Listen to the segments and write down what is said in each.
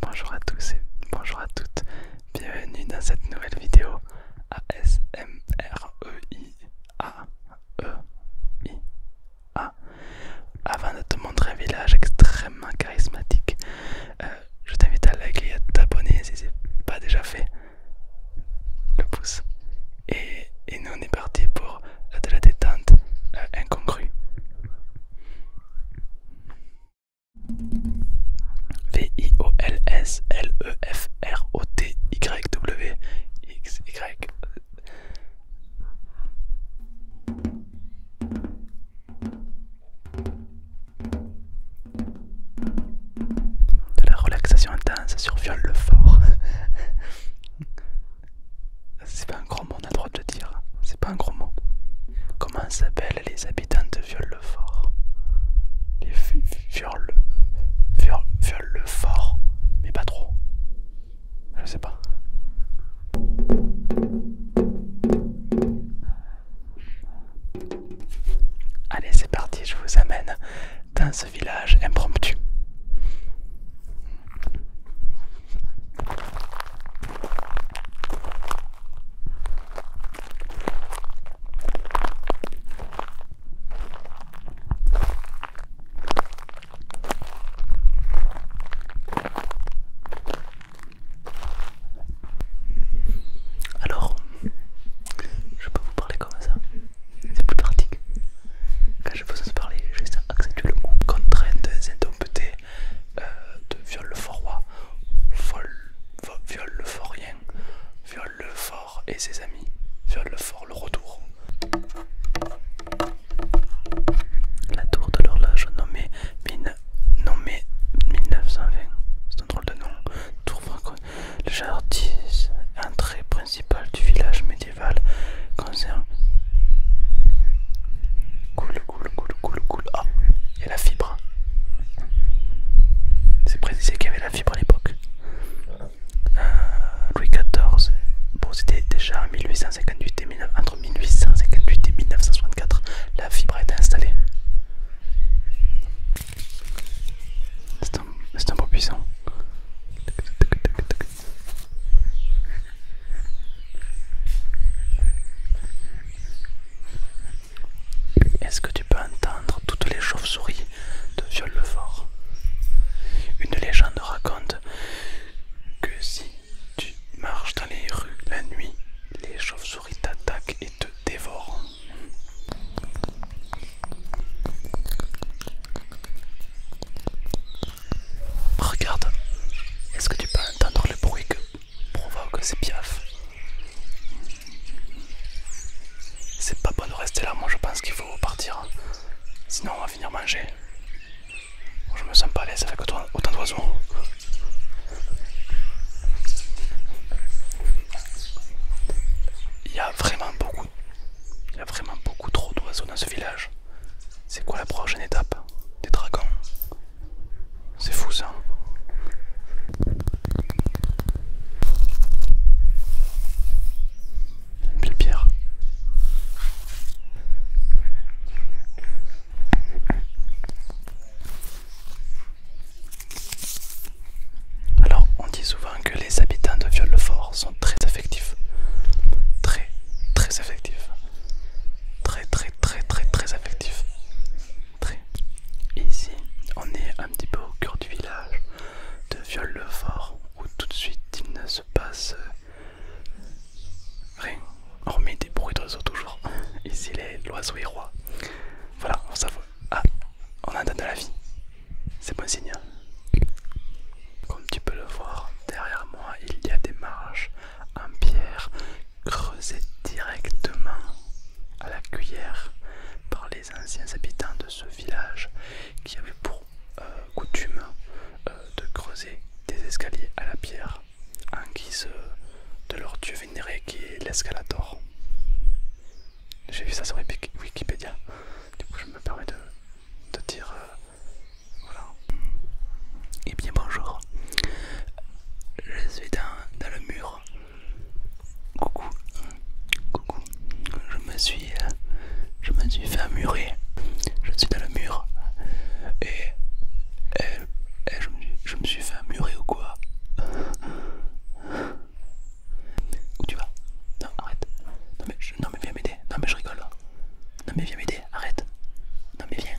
Bonjour à tous et bonjour à toutes, bienvenue dans cette nouvelle vidéo a e e Avant de te montrer un village extrêmement charismatique, euh, je t'invite à liker et à t'abonner si ce n'est pas déjà fait. Le pouce. Et, nous on est parti pour de la détente euh, incongrue. V-I-O-L-S-L-E-F-R-O-T-Y-W X Y de la relaxation intense sur viol le fort. C'est pas un grand on a le droit de le dire, c'est pas un gros mot. Comment s'appellent les habitants de Viol-le-Fort Les Viol-le-Fort fort mais pas trop. Je sais pas. Allez, c'est parti, je vous amène dans ce village impromptu. Alors, je peux vous parler comme ça, c'est plus pratique. Quand je vous en parler, juste accentuer le mot Contrainte, c'est un peu euh, de viol le Fort-Roi, viol le forien, viol le fort et ses amis, viol le fort le retour. La tour de l'horloge nommée, nommée 1920, c'est un drôle de nom, tour franco le jardin, entrée principale du village médiéval, concerne... Cool, cool, cool, cool, cool. Ah il la fibre. C'est précisé qu'il y avait la fibre à l'époque. Euh, Louis XIV, bon, c'était déjà 1858 et entre 1858 et 1964, la fibre a été installée. C'est un, beau puissant. Est-ce que tu peux entendre toutes les chauves-souris de Viol-le-Fort Une légende raconte que si tu marches dans les rues la nuit, les chauves-souris t'attaquent et te dévorent. Regarde, est-ce que tu peux entendre le bruit que provoque ses piaf C'est pas bon de rester là, moi je pense qu'il faut partir. Sinon on va finir manger. Je me sens pas à l'aise avec autant d'oiseaux. Il y a vraiment beaucoup. Il y a vraiment beaucoup trop d'oiseaux dans ce village. C'est quoi la prochaine étape Des dragons c'est fou ça. Une pierre. Alors, on dit souvent que les habitants de Viol-le-Fort sont très affectifs. Très, très affectifs. Très, très, très, très, très affectifs. Ici, on est un petit peu au cœur du village de Viol-le-Fort où tout de suite il ne se passe euh, rien, hormis des bruits d'oiseaux toujours. Ici, l'oiseau est roi. Voilà, on s'avoue. Ah, on a un de la vie. C'est bon signe. Comme tu peux le voir, derrière moi, il y a des marches en pierre Creusé directement à la cuillère par les anciens habitants de ce village qui avaient pour euh, coutume euh, de creuser des escaliers à la pierre en guise de leur dieu vénéré qui est l'escalator. J'ai vu ça sur Wikipédia, du coup je me permets de, dire... Euh, voilà. et eh bien bonjour, je suis dans, le mur. Coucou. Coucou. Je me suis... Euh, je me suis fait amurer, Je suis dans le mur. Et... je, me, suis fait amurer ou quoi Où tu vas Non, arrête. non mais viens m'aider. Non mais je rigole. Non mais viens m'aider. Arrête. Non mais viens.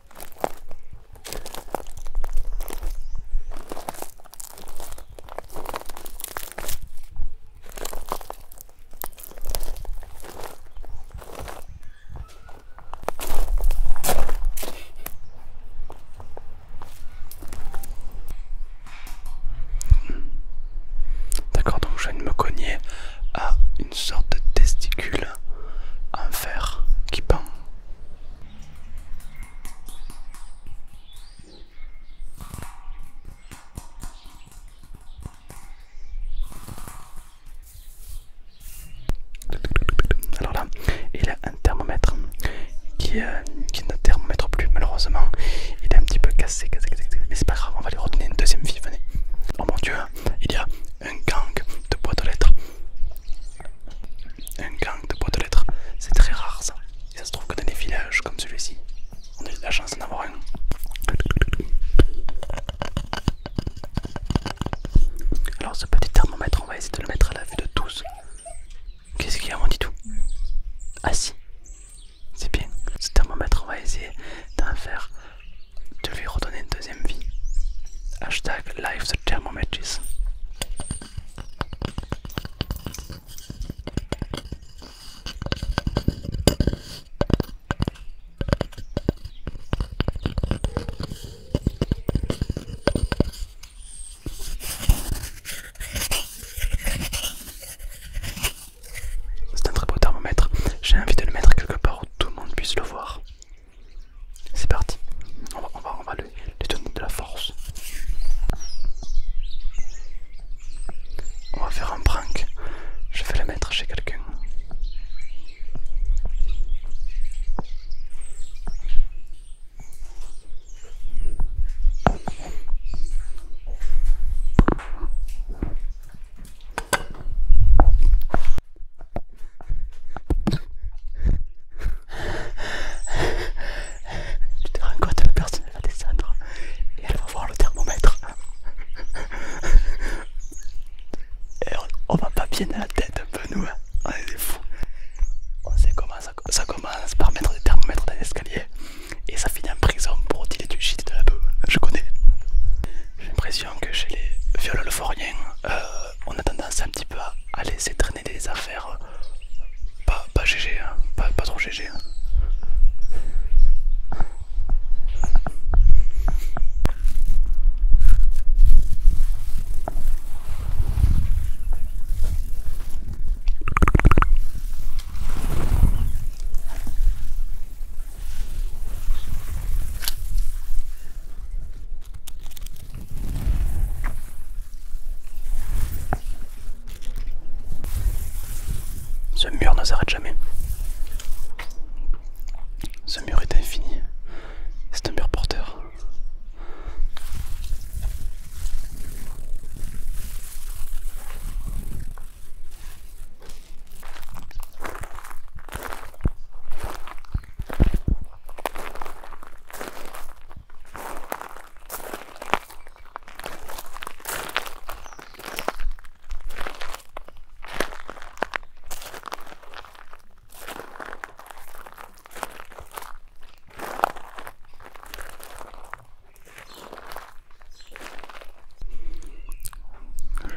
D'accord, donc je ne me cogner à une sorte de testicule en fer qui pend. Alors là, il a un thermomètre qui, n'a euh, qui ne thermomètre plus malheureusement. Il est un petit peu cassé, mais c'est pas grave, on va lui retenir une deuxième vie, venez. Oh mon dieu, il y a un gang de boîtes de lettres un gang de boîtes de lettres, c'est très rare ça. Et ça se trouve que dans des villages comme celui-ci, on a eu la chance d'en avoir un. Alors ce petit thermomètre, on va essayer de le mettre à la vue de tous. Qu'est-ce qu'il y a On dit tout. Ah si, c'est bien. Ce thermomètre, on va essayer d'en faire je lui redonner une deuxième vie. Hashtag Live the C'est un très beau thermomètre. J'ai envie de le mettre quelque part où tout le monde puisse le voir. C'est parti, on va, on va, donner de la force. On va faire un prank. Je vais le mettre chez quelqu'un. Tu te rends compte, la personne va descendre et elle va voir le thermomètre. Et on, va pas bien à la tête un peu nous, hein. on est des fous. On sait comment ça, commence par mettre des thermomètres dans l'escalier et ça finit en prison pour tirer du shit de la bœuf, je connais. J'ai l'impression que chez les viols euh, euh, on a tendance un petit peu à, laisser traîner des affaires euh, pas, pas GG, hein, pas, pas trop GG. Hein. Ce mur ne s'arrête jamais. Ce mur est infini. C'est un mur porteur.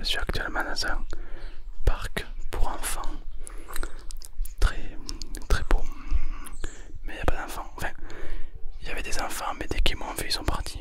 Je suis actuellement dans un parc pour enfants très très beau mais il a pas d'enfants enfin il y avait des enfants mais dès qu'ils m'ont vu ils sont partis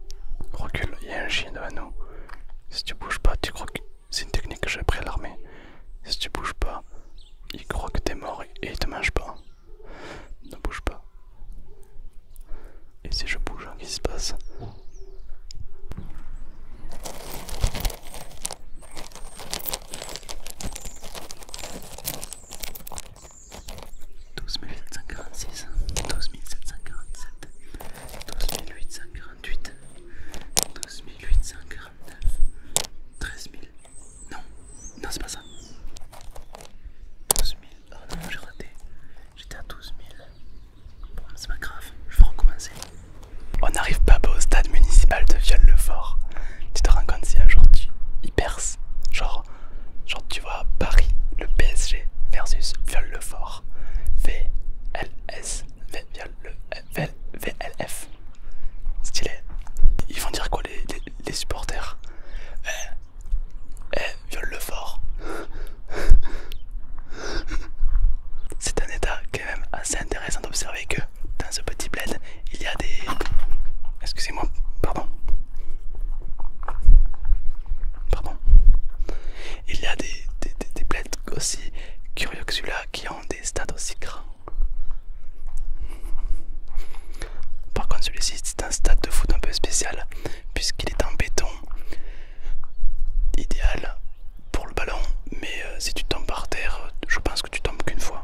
Recule, il y a un chien devant nous. Si tu bouges pas, tu crois que... C'est une technique que j'ai appris à l'armée. Si tu bouges pas, il croit que t'es mort et il te mange pas. Ne bouge pas. Et si je bouge, hein, qu'est-ce qui se passe 12746, 12747, 12848, 12849, 13000. Non, non, c'est pas ça. 000. Oh non, j'ai raté. J'étais à 12 000. Bon, c'est pas grave, je vais recommencer. On n'arrive pas au stade municipal de Viol-le-Fort. Tu te rends compte si un jour tu y genre genre, tu vois Paris, le PSG versus Viol le Fort, VLS, VLF. Style Ils vont dire quoi les, supporters Eh, eh, Viol le Fort. C'est un état quand même assez intéressant d'observer que dans ce petit bled, il y a des... Excusez-moi, pardon. Pardon. Il y a des, des, aussi curieux que celui-là qui ont des stades aussi grands. Par contre celui-ci c'est un stade de foot un peu spécial puisqu'il est en béton idéal pour le ballon mais euh, si tu tombes par terre je pense que tu tombes qu'une fois.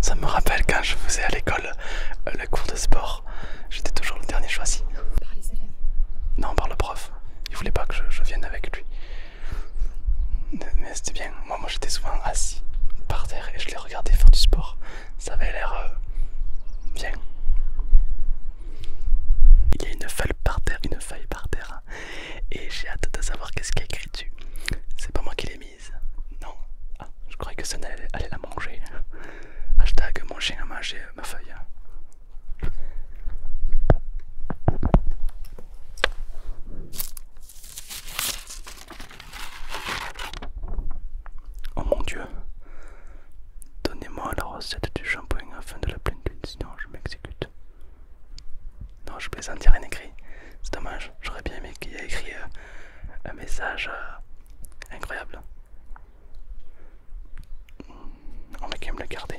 Ça me rappelle quand je faisais à l'école euh, le cours de sport, j'étais toujours le dernier choisi. Par les élèves Non, par le prof. Il voulait pas que je, vienne avec lui. Mais c'était bien. Moi, moi j'étais souvent assis par terre et je l'ai regardais faire du sport. Ça avait l'air euh, bien. Il y a une feuille par terre, une feuille par terre. Hein. Et j'ai hâte de savoir qu'est-ce qu'il y a écrit dessus. C'est pas moi qui l'ai mise. Non. Ah, je croyais que ça allait, allait la manger. Hashtag mon chien a mangé ma feuille. Hein. Oh mon Dieu, donnez-moi la recette du shampoing afin de la pleine de sinon je m'exécute. Non, je peux il rien écrit. C'est dommage, j'aurais bien aimé qu'il y ait écrit euh, un message euh, incroyable. On va quand même le garder.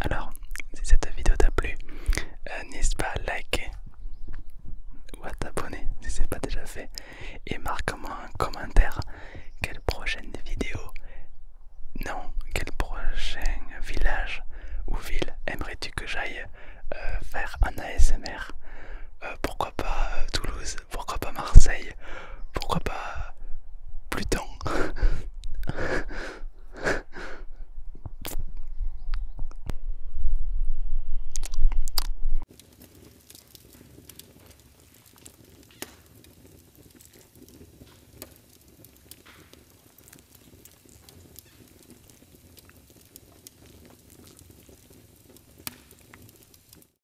Alors, si cette vidéo t'a plu, euh, n'hésite pas à liker ou à t'abonner si c'est pas déjà fait et marque-moi un commentaire quelle prochaine vidéo non quel prochain village ou ville aimerais-tu que j'aille euh, faire un ASMR euh, pourquoi pas Toulouse pourquoi pas Marseille, pourquoi pas Pluton